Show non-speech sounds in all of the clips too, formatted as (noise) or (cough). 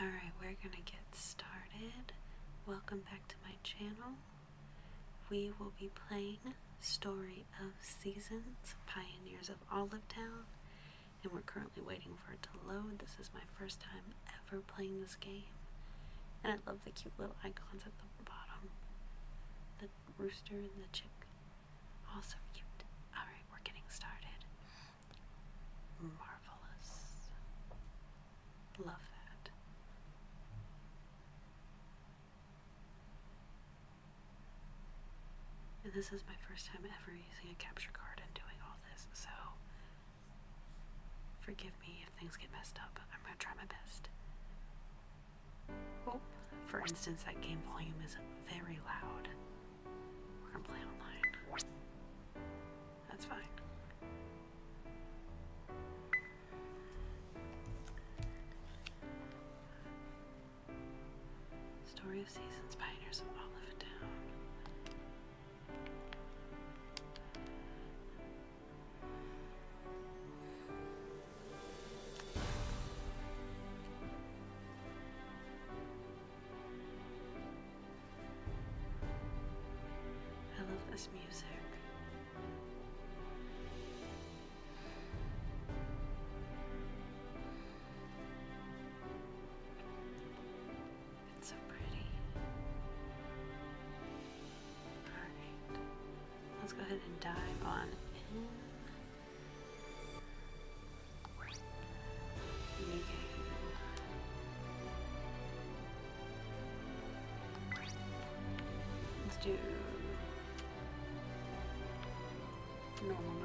Alright, we're gonna get started. Welcome back to my channel. We will be playing Story of Seasons, Pioneers of Olive Town, and we're currently waiting for it to load. This is my first time ever playing this game. And I love the cute little icons at the bottom. The rooster and the chick. Also cute. Alright, we're getting started. Marvelous. Love that. And this is my first time ever using a capture card and doing all this, so Forgive me if things get messed up. I'm going to try my best. Oh, for instance, that game volume is very loud. We're going to play online. That's fine. Story of Seasons, Pioneers of Olive Town. I love this music. It's so pretty. Alright, let's go ahead and dive on in. Let's do normal mode.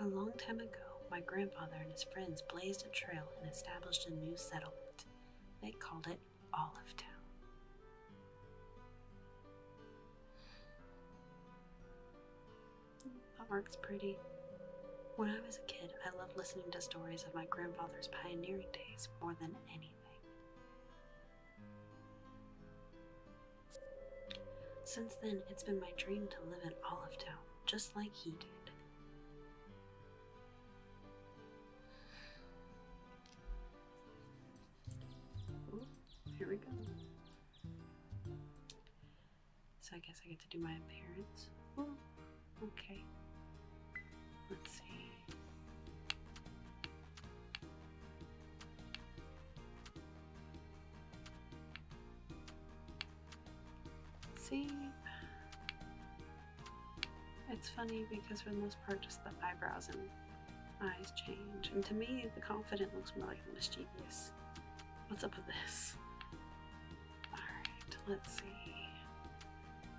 A long time ago, my grandfather and his friends blazed a trail and established a new settlement. They called it Olive Town. That works pretty. When I was a kid, I loved listening to stories of my grandfather's pioneering days more than anything. Since then, it's been my dream to live in Olive Town, just like he did. here we go. So I guess I get to do my appearance. Hmm, okay. Let's see. See? It's funny because for the most part just the eyebrows and eyes change. And to me the confident looks more like the mischievous. What's up with this? Alright, let's see.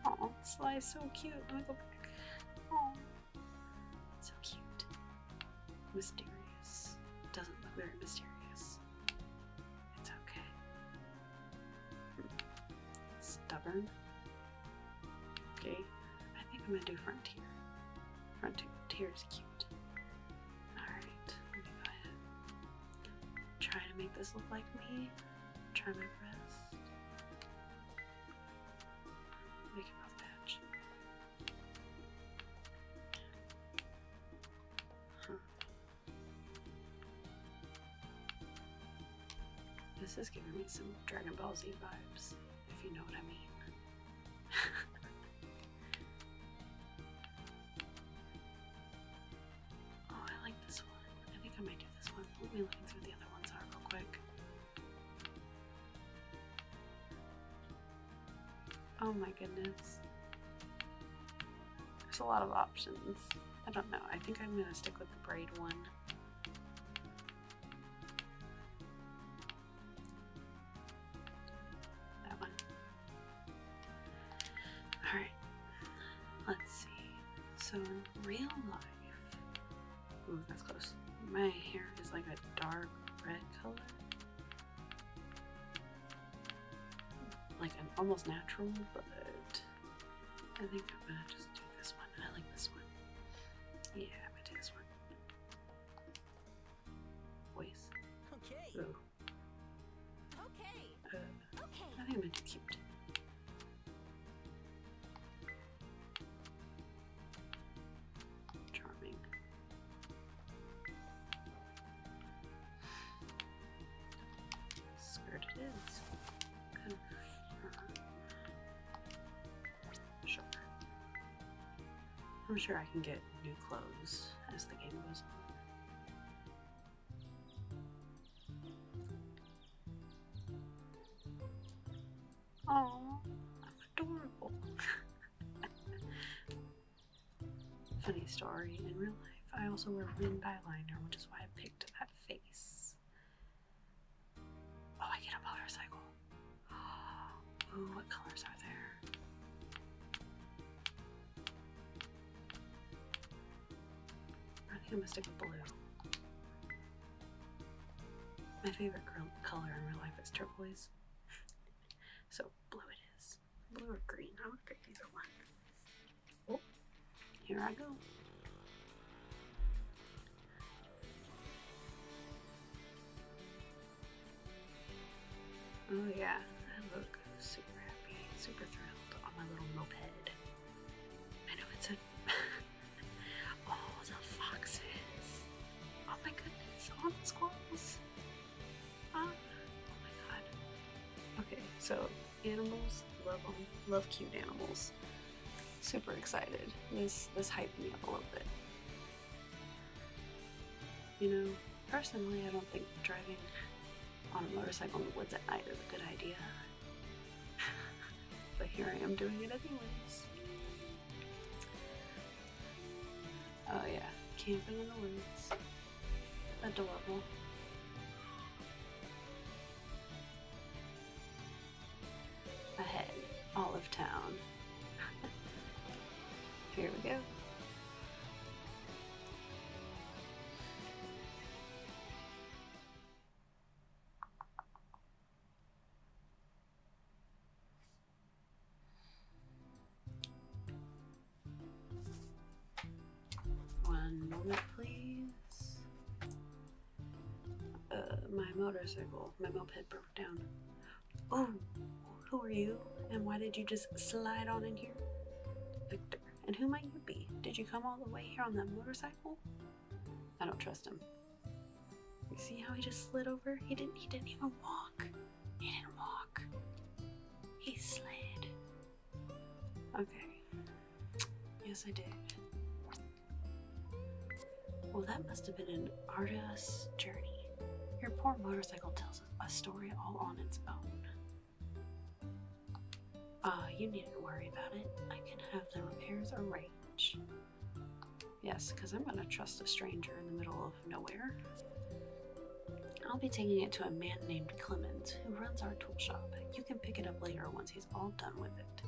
Oh, Sly's so cute. Oh. So cute. Mysterious. Doesn't look very mysterious. It's okay. Stubborn. Okay. I think I'm gonna do Frontier. Frontier is cute. Alright, let me go ahead. Try to make this look like me. Try my best. We can move that. Huh. This is giving me some Dragon Ball Z vibes, if you know what I mean. (laughs) oh, I like this one. I think I might do this one. Let me look through the other ones real quick. Oh my goodness. There's a lot of options. I don't know. I think I'm going to stick with the braid one. That one. Alright. Let's see. So in real life, Ooh, that's close. My hair is like a dark red color. Like an almost natural, but I think I'm gonna just do this one. I like this one. Yeah, I'm gonna do this one. Voice. Okay. Ooh. Okay. Uh, okay. I think I'm gonna do cute. Charming. Skirt it is. Sure. I'm sure I can get new clothes as the game goes on. (laughs) Funny story, in real life, I also wear rim byliner, which is why I picked that face. Oh, I get a motorcycle. (gasps) Ooh, what colors are there? I think I'm gonna stick with blue. My favorite color in real life is turquoise. So blue it is. Blue or green. I would pick either one. Oh, here I go. Oh yeah, I look super happy, super thrilled on my little moped. I know it's a (laughs) Oh, the foxes! Oh my goodness, all the squirrels! Ah, oh my god. Okay, so animals love them. love cute animals. Super excited. This this hyped me up a little bit. You know, personally, I don't think driving on a motorcycle in the woods at night is a good idea. (laughs) but here I am doing it anyways. Oh yeah, camping in the woods. Adorable. Ahead, all of town. (laughs) Here we go. One moment, please. Uh, my motorcycle, my moped broke down. Oh, who are you? And why did you just slide on in here? Victor, and who might you be? Did you come all the way here on that motorcycle? I don't trust him. You See how he just slid over? He didn't he didn't even walk. He didn't walk. He slid. Okay. Yes I did. Well that must have been an artist's journey. Your poor motorcycle tells a story all on its own. Uh, you needn't worry about it. I can have the repairs arranged. Yes, because I'm going to trust a stranger in the middle of nowhere. I'll be taking it to a man named Clement, who runs our tool shop. You can pick it up later once he's all done with it.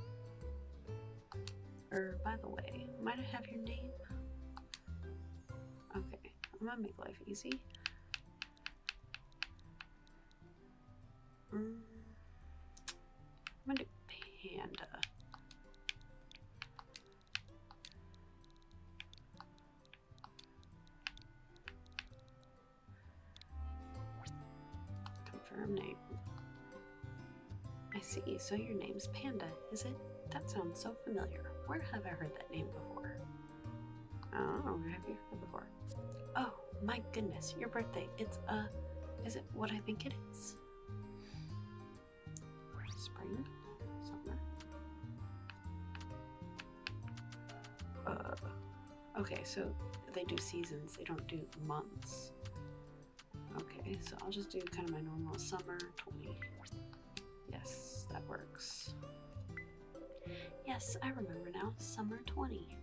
Er, by the way, might I have your name? Okay, I'm gonna make life easy. Mm. I'm gonna do panda. Confirm name. I see, so your name's Panda, is it? That sounds so familiar. Where have I heard that name before? Oh, have you heard before? Oh, my goodness, your birthday. It's, a. Uh, is it what I think it is? Spring summer. Uh, okay, so they do seasons, they don't do months. Okay, so I'll just do kind of my normal summer 20. Yes, that works. Yes, I remember now. Summer 20.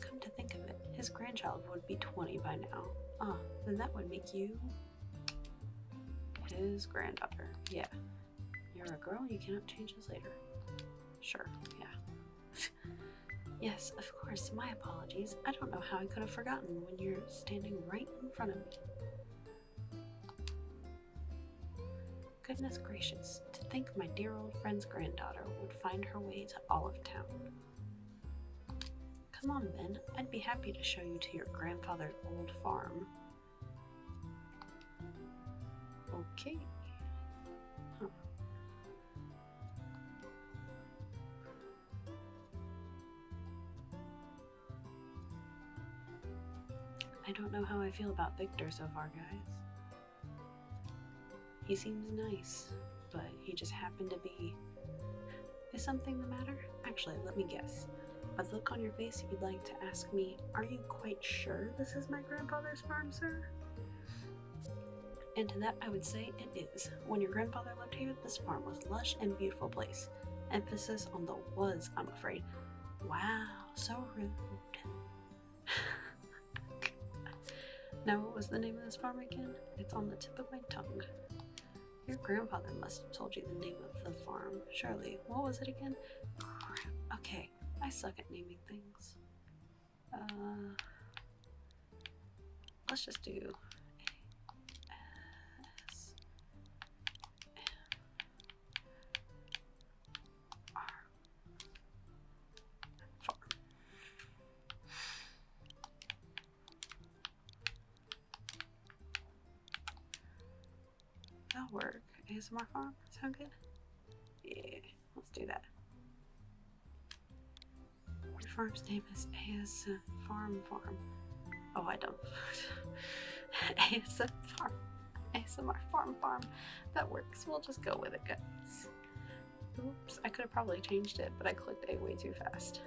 Come to think of it his grandchild would be 20 by now. Ah, then that would make you his granddaughter. Yeah. You're a girl, you cannot change this later. Sure, yeah. (laughs) yes, of course, my apologies. I don't know how I could have forgotten when you're standing right in front of me. Goodness gracious, to think my dear old friend's granddaughter would find her way to Olive Town. Come on, Ben. I'd be happy to show you to your grandfather's old farm. Okay. I don't know how I feel about Victor so far, guys. He seems nice, but he just happened to be. Is something the matter? Actually, let me guess. By the look on your face, you'd like to ask me, Are you quite sure this is my grandfather's farm, sir? And to that, I would say it is. When your grandfather lived here, this farm was lush and beautiful place. Emphasis on the was, I'm afraid. Wow, so rude. (laughs) Now, what was the name of this farm again? It's on the tip of my tongue. Your grandfather must have told you the name of the farm, surely. What was it again? Okay, I suck at naming things. Uh, let's just do A S M R farm. That'll work. ASMR farm? Sound good? Yeah, let's do that. The farm's name is AS Farm Farm. Oh, I don't. ASM (laughs) Farm. ASMR Farm Farm. That works. We'll just go with it, guys. Oops, I could have probably changed it, but I clicked A way too fast.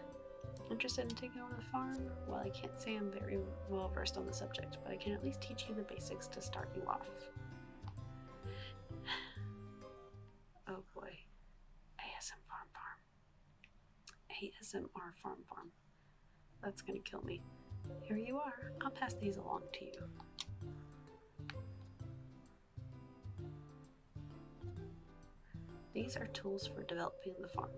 Interested in taking over the farm? Well, I can't say I'm very well versed on the subject, but I can at least teach you the basics to start you off. (sighs) Oh boy. ASM Farm. ASMR Farm Farm. That's gonna kill me. Here you are. I'll pass these along to you. These are tools for developing the farm.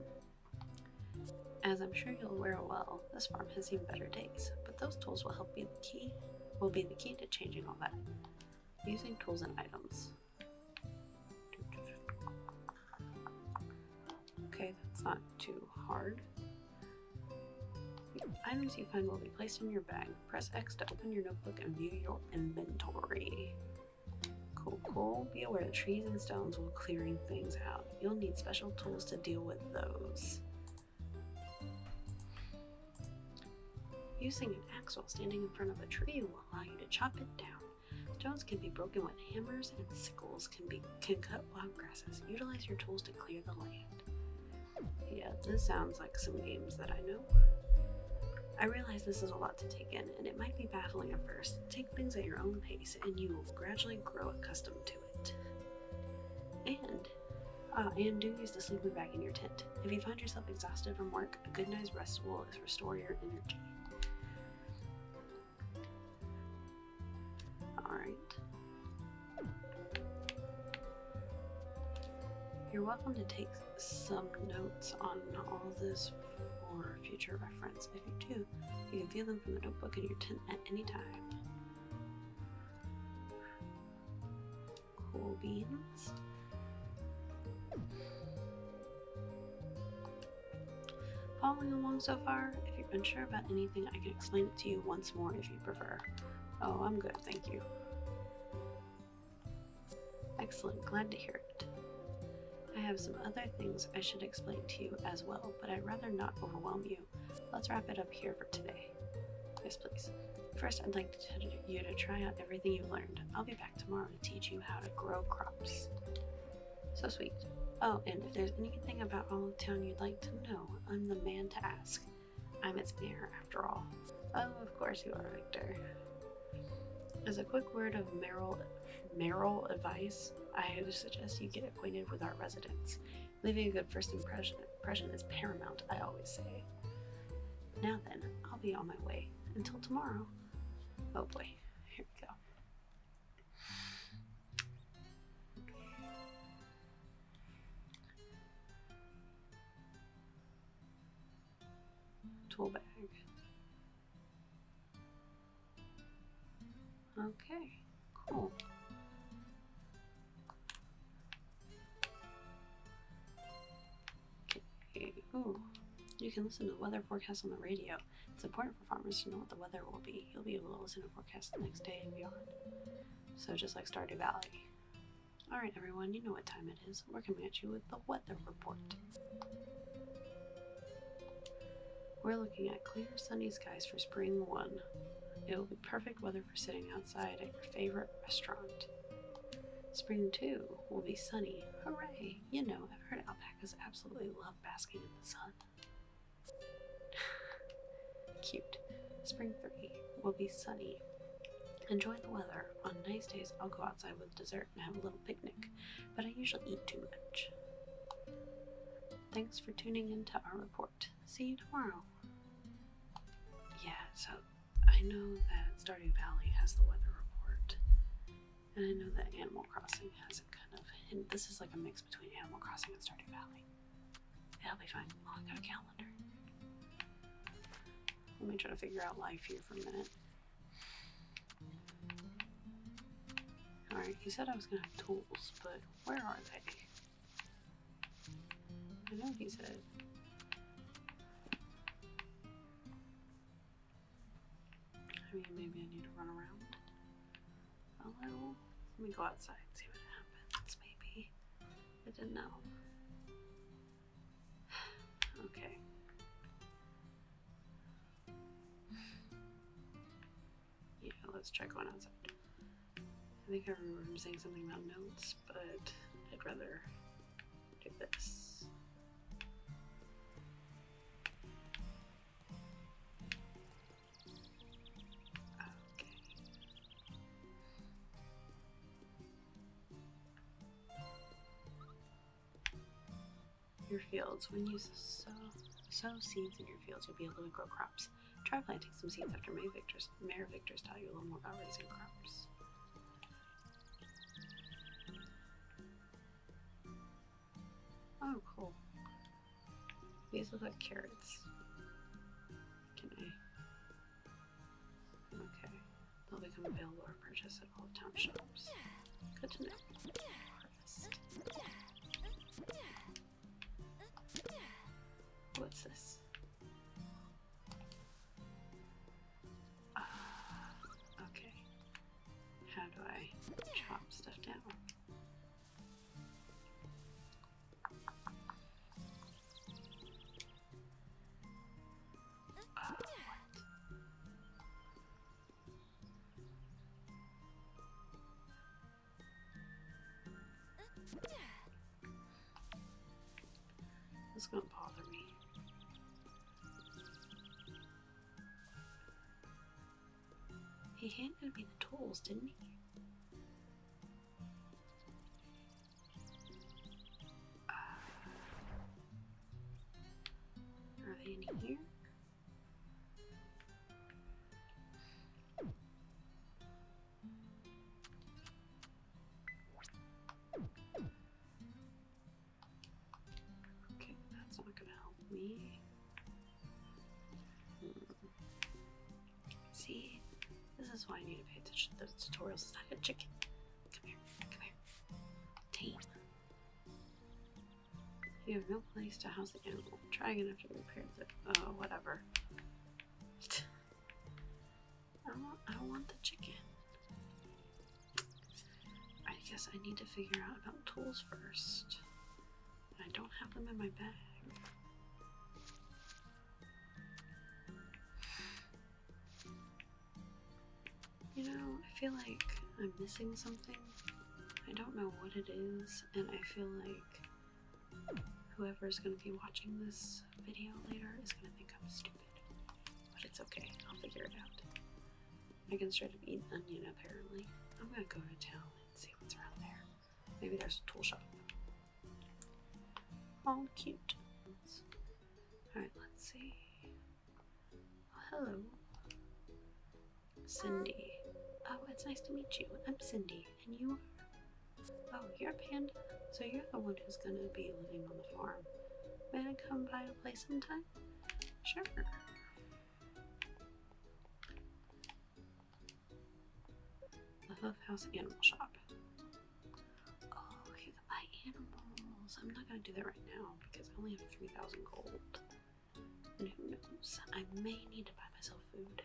As I'm sure you will wear well, this farm has seen better days, but those tools will help be the key will be the key to changing all that. Using tools and items. Okay, that's not too hard. items you find will be placed in your bag. Press X to open your notebook and view your inventory. Cool, cool. Be aware that trees and stones will clearing things out. You'll need special tools to deal with those. Using an axe while standing in front of a tree will allow you to chop it down. Stones can be broken with hammers and sickles can be can cut wild grasses. Utilize your tools to clear the land. Yeah, this sounds like some games that I know I realize this is a lot to take in, and it might be baffling at first. Take things at your own pace, and you will gradually grow accustomed to it. And, ah, and do use the sleeping bag in your tent. If you find yourself exhausted from work, a good night's rest will restore your energy. Alright. You're welcome to take some notes on all this for future reference. If you do, you can view them from the notebook in your tent at any time. Cool beans. Following along so far? If you're unsure about anything, I can explain it to you once more if you prefer. Oh, I'm good, thank you. Excellent, glad to hear it. I have some other things I should explain to you as well, but I'd rather not overwhelm you. Let's wrap it up here for today. Yes, please. First, I'd like you to try out everything you've learned. I'll be back tomorrow to teach you how to grow crops. So sweet. Oh, and if there's anything about all the Town you'd like to know, I'm the man to ask. I'm its mayor after all. Oh, of course you are, Victor. As a quick word of Meryl, Meryl advice, I suggest you get acquainted with our residents. Leaving a good first impression is paramount, I always say. Now then, I'll be on my way. Until tomorrow. Oh boy, here we go tool bag. Okay, cool. Okay, ooh. You can listen to the weather forecast on the radio. It's important for farmers to know what the weather will be. You'll be able to listen to forecasts the next day and beyond. So just like Stardew Valley. Alright, everyone, you know what time it is. We're coming at you with the weather report. We're looking at clear, sunny skies for spring 1. It will be perfect weather for sitting outside at your favorite restaurant. Spring 2 will be sunny. Hooray! You know, I've heard alpacas absolutely love basking in the sun. (laughs) Cute. Spring 3 will be sunny. Enjoy the weather. On nice days, I'll go outside with dessert and have a little picnic, but I usually eat too much. Thanks for tuning in to our report. See you tomorrow. Yeah, so I know that Stardew Valley has the weather report, and I know that Animal Crossing has a kind of This is like a mix between Animal Crossing and Stardew Valley. It'll be fine. Oh, I got a calendar. Let me try to figure out life here for a minute. Alright, he said I was gonna have tools, but where are they? I know he said. I mean, maybe I need to run around a little. Let me go outside and see what happens, maybe. I didn't know. Okay. Yeah, let's check one outside. I think I remember saying something about notes, but I'd rather do this. Okay. Your fields. When you sow, sow seeds in your fields, you'll be able to grow crops. Try planting some seeds after May Victor's, Mayor Victor's tell you a little more about raising crops. Oh, cool. These look like carrots. Can I Okay. They'll become available for purchase at all of town shops. Good to know. What's this? Ah, okay. How do I chop stuff down? this is gonna bother me. He handed me the tools, didn't he? Uh, are they in here? Okay, that's not gonna help me. Hmm. See, this is why I need to pay attention to the tutorials. It's not a chicken. Come here, come here. Tame. You have no place to house the animal. Trying to after the repairs. Oh, uh, whatever. I want, I want the chicken. I guess I need to figure out about tools first. I don't have them in my bag. You know, I feel like I'm missing something. I don't know what it is, and I feel like whoever is gonna be watching this video later is gonna think I'm stupid. But it's okay, I'll figure it out. I can start up eat onion apparently. I'm gonna go to town and see what's around there. Maybe there's a tool shop. All cute. Alright, let's see. Oh, hello. Cindy. Oh, it's nice to meet you. I'm Cindy, and you are? Oh, you're a Panda. So you're the one who's gonna be living on the farm. May I come by to play sometime? Sure. The Huff House Animal Shop. Oh, by animals. I'm not gonna do that right now because I only have 3,000 gold. And who knows? I may need to buy myself food.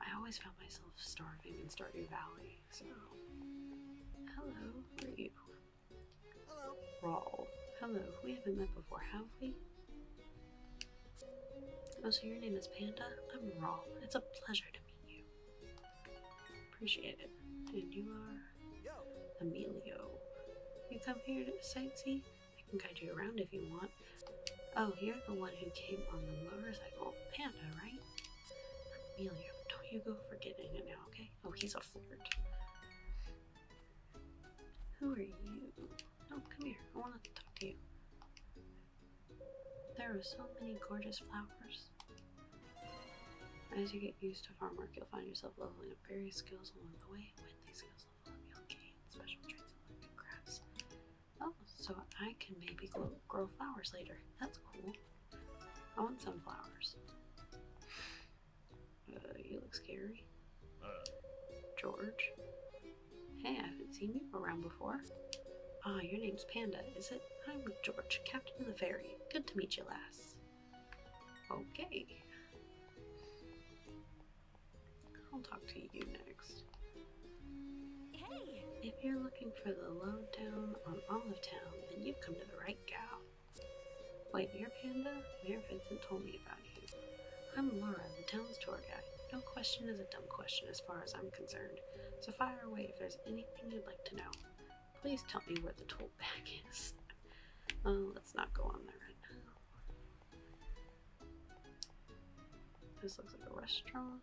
I always found myself starving in Stardew Valley, so. Hello, who are you? Hello. Rawl. Hello, we haven't met before, have we? Oh, so your name is Panda? I'm Rawl. It's a pleasure to meet you. Appreciate it. And you are Emilio. You come here to sightsee? I can guide you around if you want. Oh, you're the one who came on the motorcycle panda, right? Emilio, don't you go forgetting it now, okay? Oh, he's a flirt. Who are you? No, come here. I want to talk to you. There are so many gorgeous flowers. As you get used to farm work, you'll find yourself leveling up various skills along the way. With these skills level up, you'll gain special traits and learning crafts. Oh, so I can maybe grow, flowers later. That's cool. I want sunflowers. Uh, you look scary. George? Hey, I haven't seen you around before. Ah, your name's Panda, is it? I'm George, captain of the ferry. Good to meet you, lass. Okay. I'll talk to you next. Hey! If you're looking for the lowdown on Olive Town, then you've come to the right gal. Wait, you're Panda? Mayor Vincent told me about you. I'm Laura, the town's tour guide. No question is a dumb question as far as I'm concerned, so fire away if there's anything you'd like to know. Please tell me where the tool bag is. Uh, let's not go on there right now. This looks like a restaurant.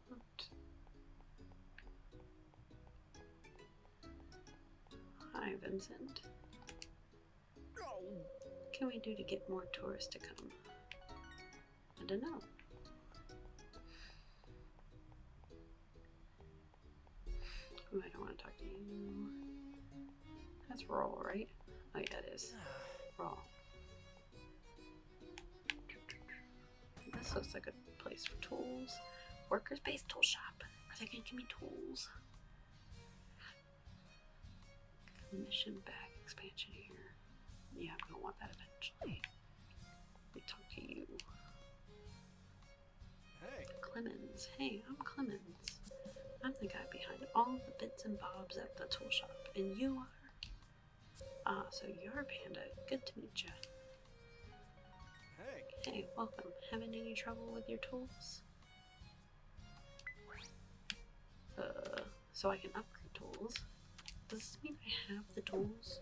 Hi, Vincent. What can we do to get more tourists to come? I don't know. I don't want to talk to you That's roll, right? Oh yeah, it is. (sighs) roll. This looks like a place for tools. Workers base tool shop. Are they gonna give me tools? Mission back expansion here. Yeah, I'm gonna want that eventually. Let me talk to you. Hey. Clemens. Hey, I'm Clemens. I'm the guy behind all the bits and bobs at the tool shop, and you are? Ah, so you're a panda. Good to meet you. Hey. Hey, welcome. Having any trouble with your tools? Uh, so I can upgrade tools. Does this mean I have the tools?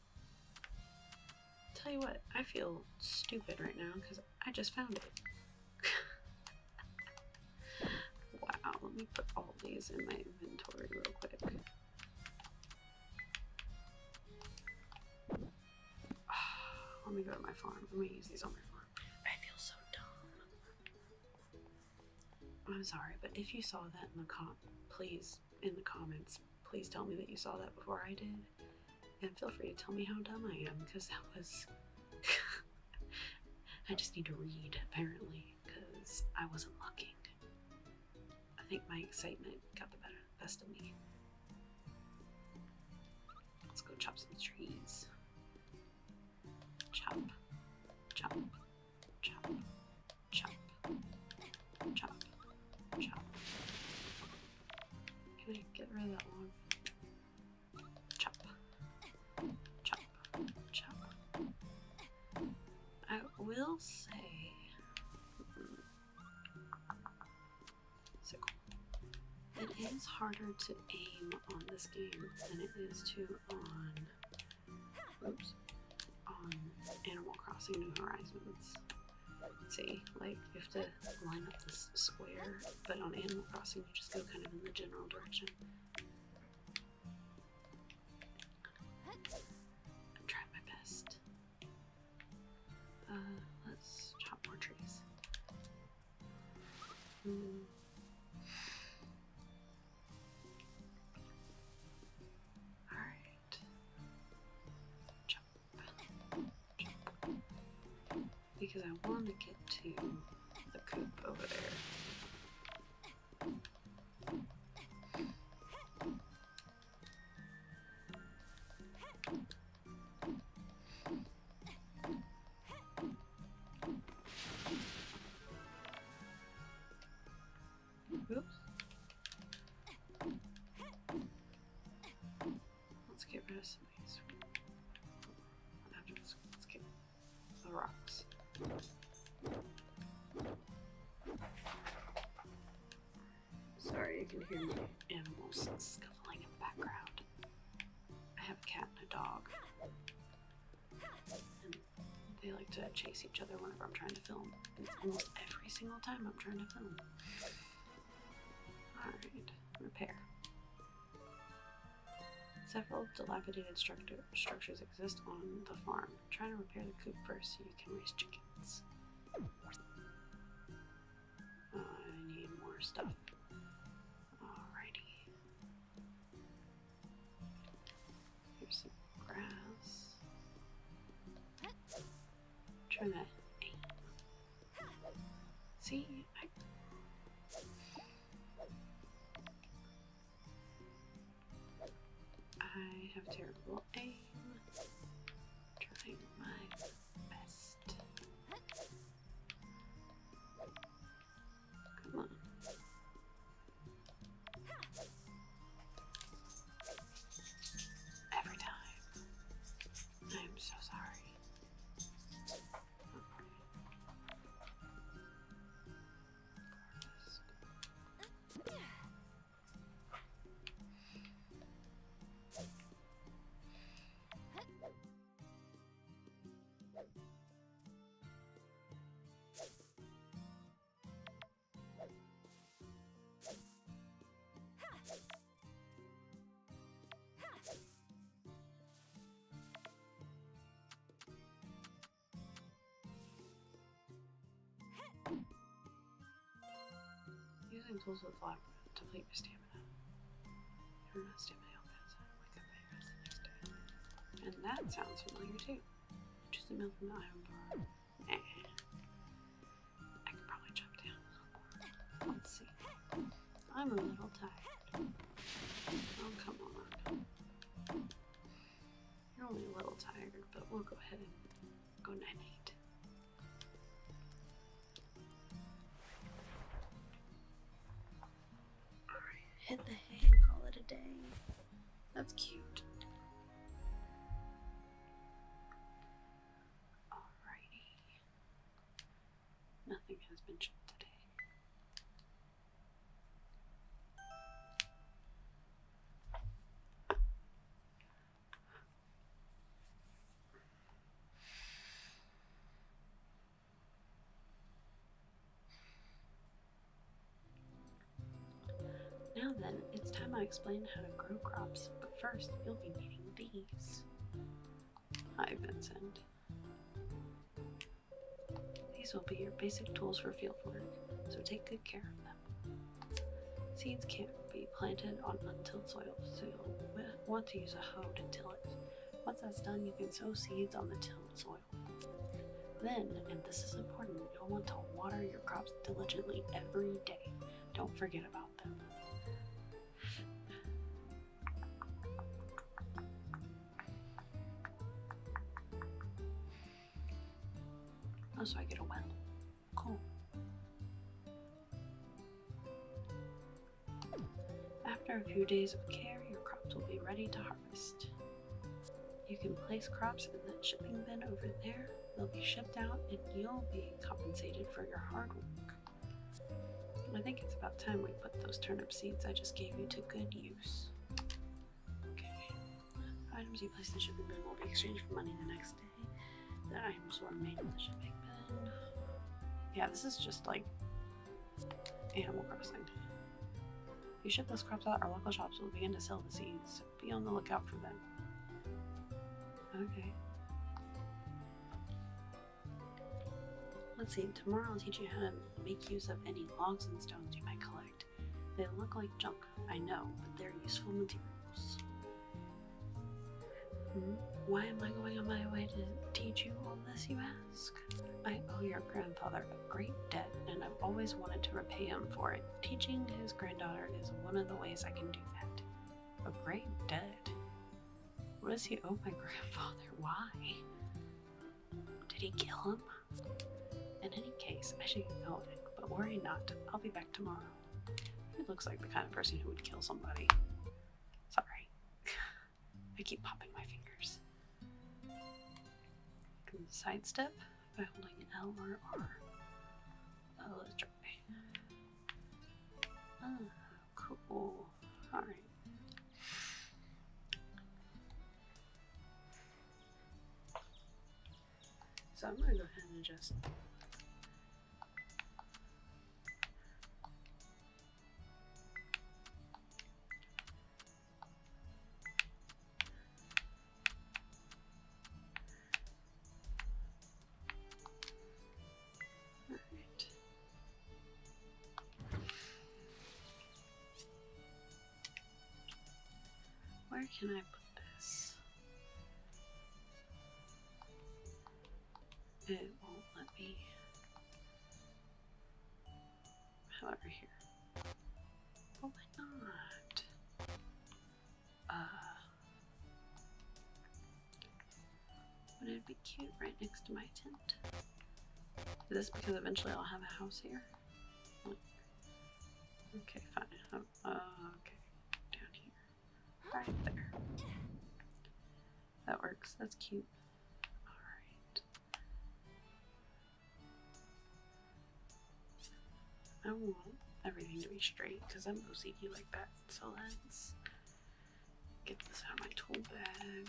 Tell you what, I feel stupid right now because I just found it. (laughs) wow, let me put all these in my inventory real quick. (sighs) let me go to my farm. Let me use these on my farm. I feel so dumb. I'm sorry, but if you saw that in the comp, please in the comments, please tell me that you saw that before I did. And feel free to tell me how dumb I am, because that was. (laughs) I just need to read, apparently, because I wasn't looking. I think my excitement got the better, best of me. Let's go chop some trees. Chop, chop, chop, Chop. Chop. Chop. Can I get rid of that one? Chop. Chop. Chop. I will say. It is harder to aim on this game than it is to on. Oops on um, Animal Crossing New Horizons. See, like you have to line up this square, but on Animal Crossing you just go kind of in the general direction. I'm trying my best. Uh, let's chop more trees. Hmm. Alright. Because I want to get to the coop over there. Oops. Let's get rid of some of these. rocks. Sorry, you can hear the animals scuffling in the background. I have a cat and a dog. And they like to chase each other whenever I'm trying to film. It's every single time I'm trying to film. Alright, repair. Several dilapidated structures exist on the farm. Try to repair the coop first so you can raise chickens. Uh, I need more stuff. Alrighty. Here's some grass. Try that. See, I... I have terrible aim. Trying my best. Come on. Every time. I'm so sorry. Using tools with flat to deplete your stamina. you stamina outfits. Wake up at day. And that sounds familiar too. Choose a meal from the item bar. I could probably jump down. Let's see. I'm a little tired. Oh, come on. You're only a little tired, but we'll go ahead and go 9 8. Alright, hit the hay and call it a day. That's cute. Alrighty. Nothing has been shipped today. Now then, it's time I explain how to grow crops, but first you'll be needing these. Hi, Vincent. These will be your basic tools for field work, so take good care of them. Seeds can't be planted on untilled soil, so you'll want to use a hoe to till it. Once that's done, you can sow seeds on the tilled soil. Then, and this is important, you no want to water your crops diligently every day. Don't forget about them. Oh, I get a well. Cool. After a few days of care, your crops will be ready to harvest. You can place crops in that shipping bin over there. They'll be shipped out and you'll be compensated for your hard work. I think it's about time we put those turnip seeds I just gave you to good use. Okay. Items you place in the shipping bin will be exchanged for money the next day. I'm were made in the shipping bin. Yeah, this is just like Animal Crossing. If you ship those crops out, our local shops will begin to sell the seeds be on the lookout for them. Okay. Let's see, tomorrow I'll teach you how to make use of any logs and stones you might collect. They look like junk, I know, but they're useful materials. Hmm? Why am I going on my way to teach you all this, you ask? I owe your grandfather a great debt, and I've always wanted to repay him for it. Teaching his granddaughter is one of the ways I can do that. A great dead. What does he owe my (laughs) grandfather? Why? Did he kill him? In any case, I should know it. but worry not. I'll be back tomorrow. He looks like the kind of person who would kill somebody. Sorry. (laughs) I keep popping my fingers. Sidestep by holding L oh, let's try. Oh, cool. Alright. So I'm gonna go ahead and just where can I put this? It won't let me. However, here. Oh, why not? Uh, it be cute right next to my tent. This because eventually I'll have a house here. Okay, fine. Oh, uh, okay, down here, right there. That works. That's cute. All right. I want everything to be straight because I'm OCD like that. So let's get this out of my tool bag.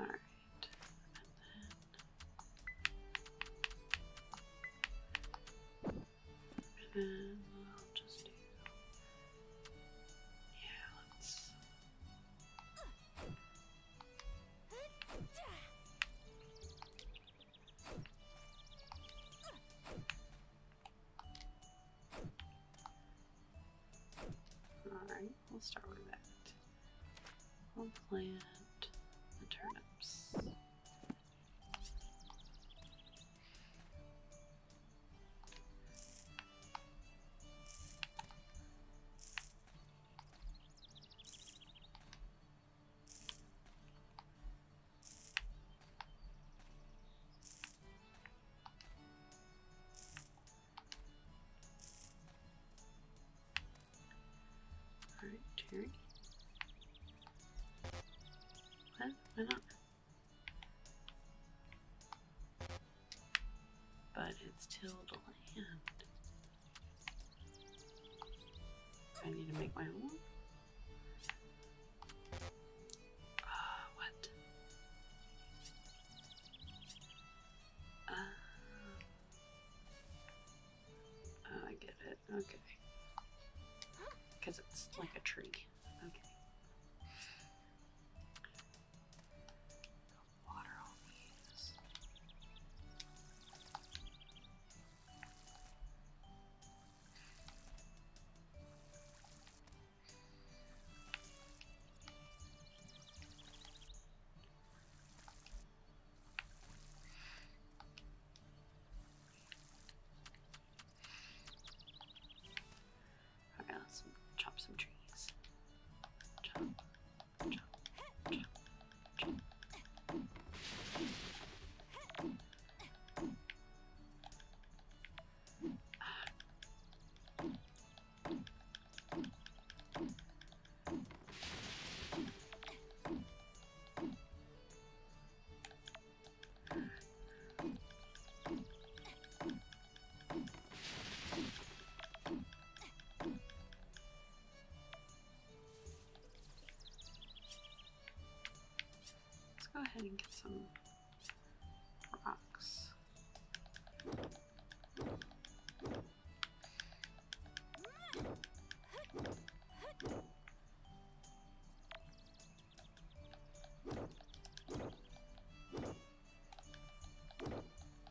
Alright. And then, I'll just do. Yeah, let's. Alright, we'll start with that. We'll plant the turnips. All right, Terry. What? Why not? but it's tilled land. I need to make my own. Uh, what? Uh, oh, I get it. Okay. Because it's like a tree. Okay water all these. We're going chop some trees. chop. Ah. Let's go ahead and get some rocks.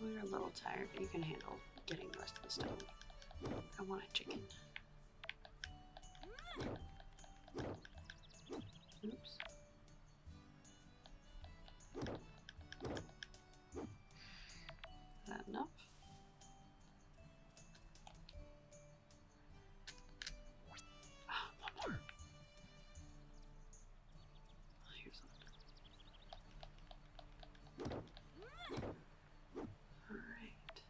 Well, you're a little tired, but you can handle getting the rest of the stuff. I want a chicken. Oops that enough? Ah, one more. Here's one. All right.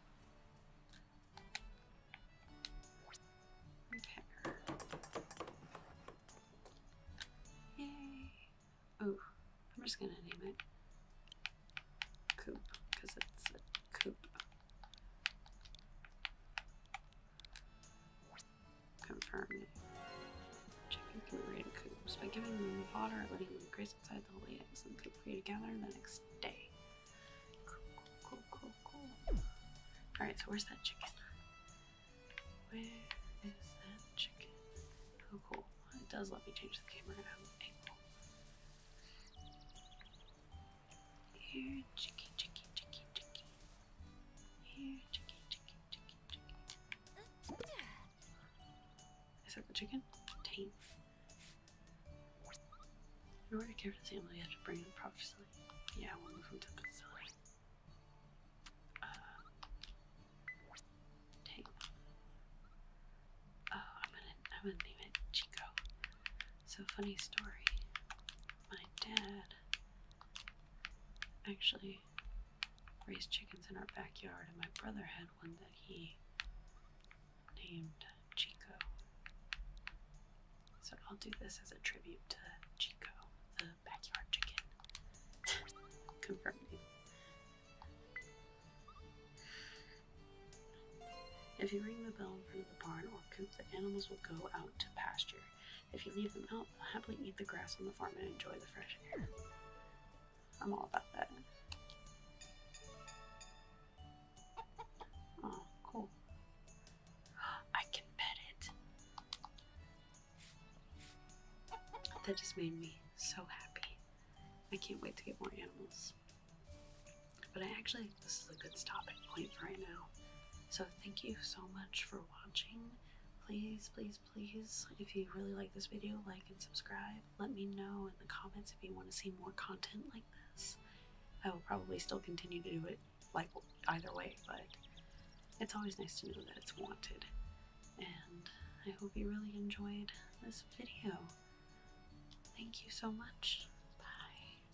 Yay. Oh, I'm just gonna name it Coop, because it's a coop. Confirm it. Chicken can be ready to coops by giving them water, letting them graze outside the lay eggs and coop for you to gather the next day. Cool, cool, cool. Alright, so where's that chicken? Where is that chicken? Oh, cool. It does let me change the camera angle. Here, chicky, chicky, chicky, chicky. Here, chicky, chicky, chicky, chicky. Is that the chicken? Taint. In order to care for the family, you have to bring the prophecy yeah, we'll move him to the facility. Uh, take. Oh, I'm gonna, I'm gonna name it Chico. So funny story. My dad actually raised chickens in our backyard, and my brother had one that he named Chico. So I'll do this as a tribute to Chico, the backyard chicken. (laughs) Confirming. If you ring the bell in front of the barn or coop, the animals will go out to pasture. If you leave them out, they'll happily eat the grass on the farm and enjoy the fresh air. I'm all about that. Oh, cool. I can pet it. That just made me so happy. I can't wait to get more animals. But I actually, this is a good stopping point for right now. So thank you so much for watching. Please, please, please, if you really like this video, like and subscribe. Let me know in the comments if you want to see more content like this. I will probably still continue to do it like either way, but it's always nice to know that it's wanted. And I hope you really enjoyed this video. Thank you so much. Bye.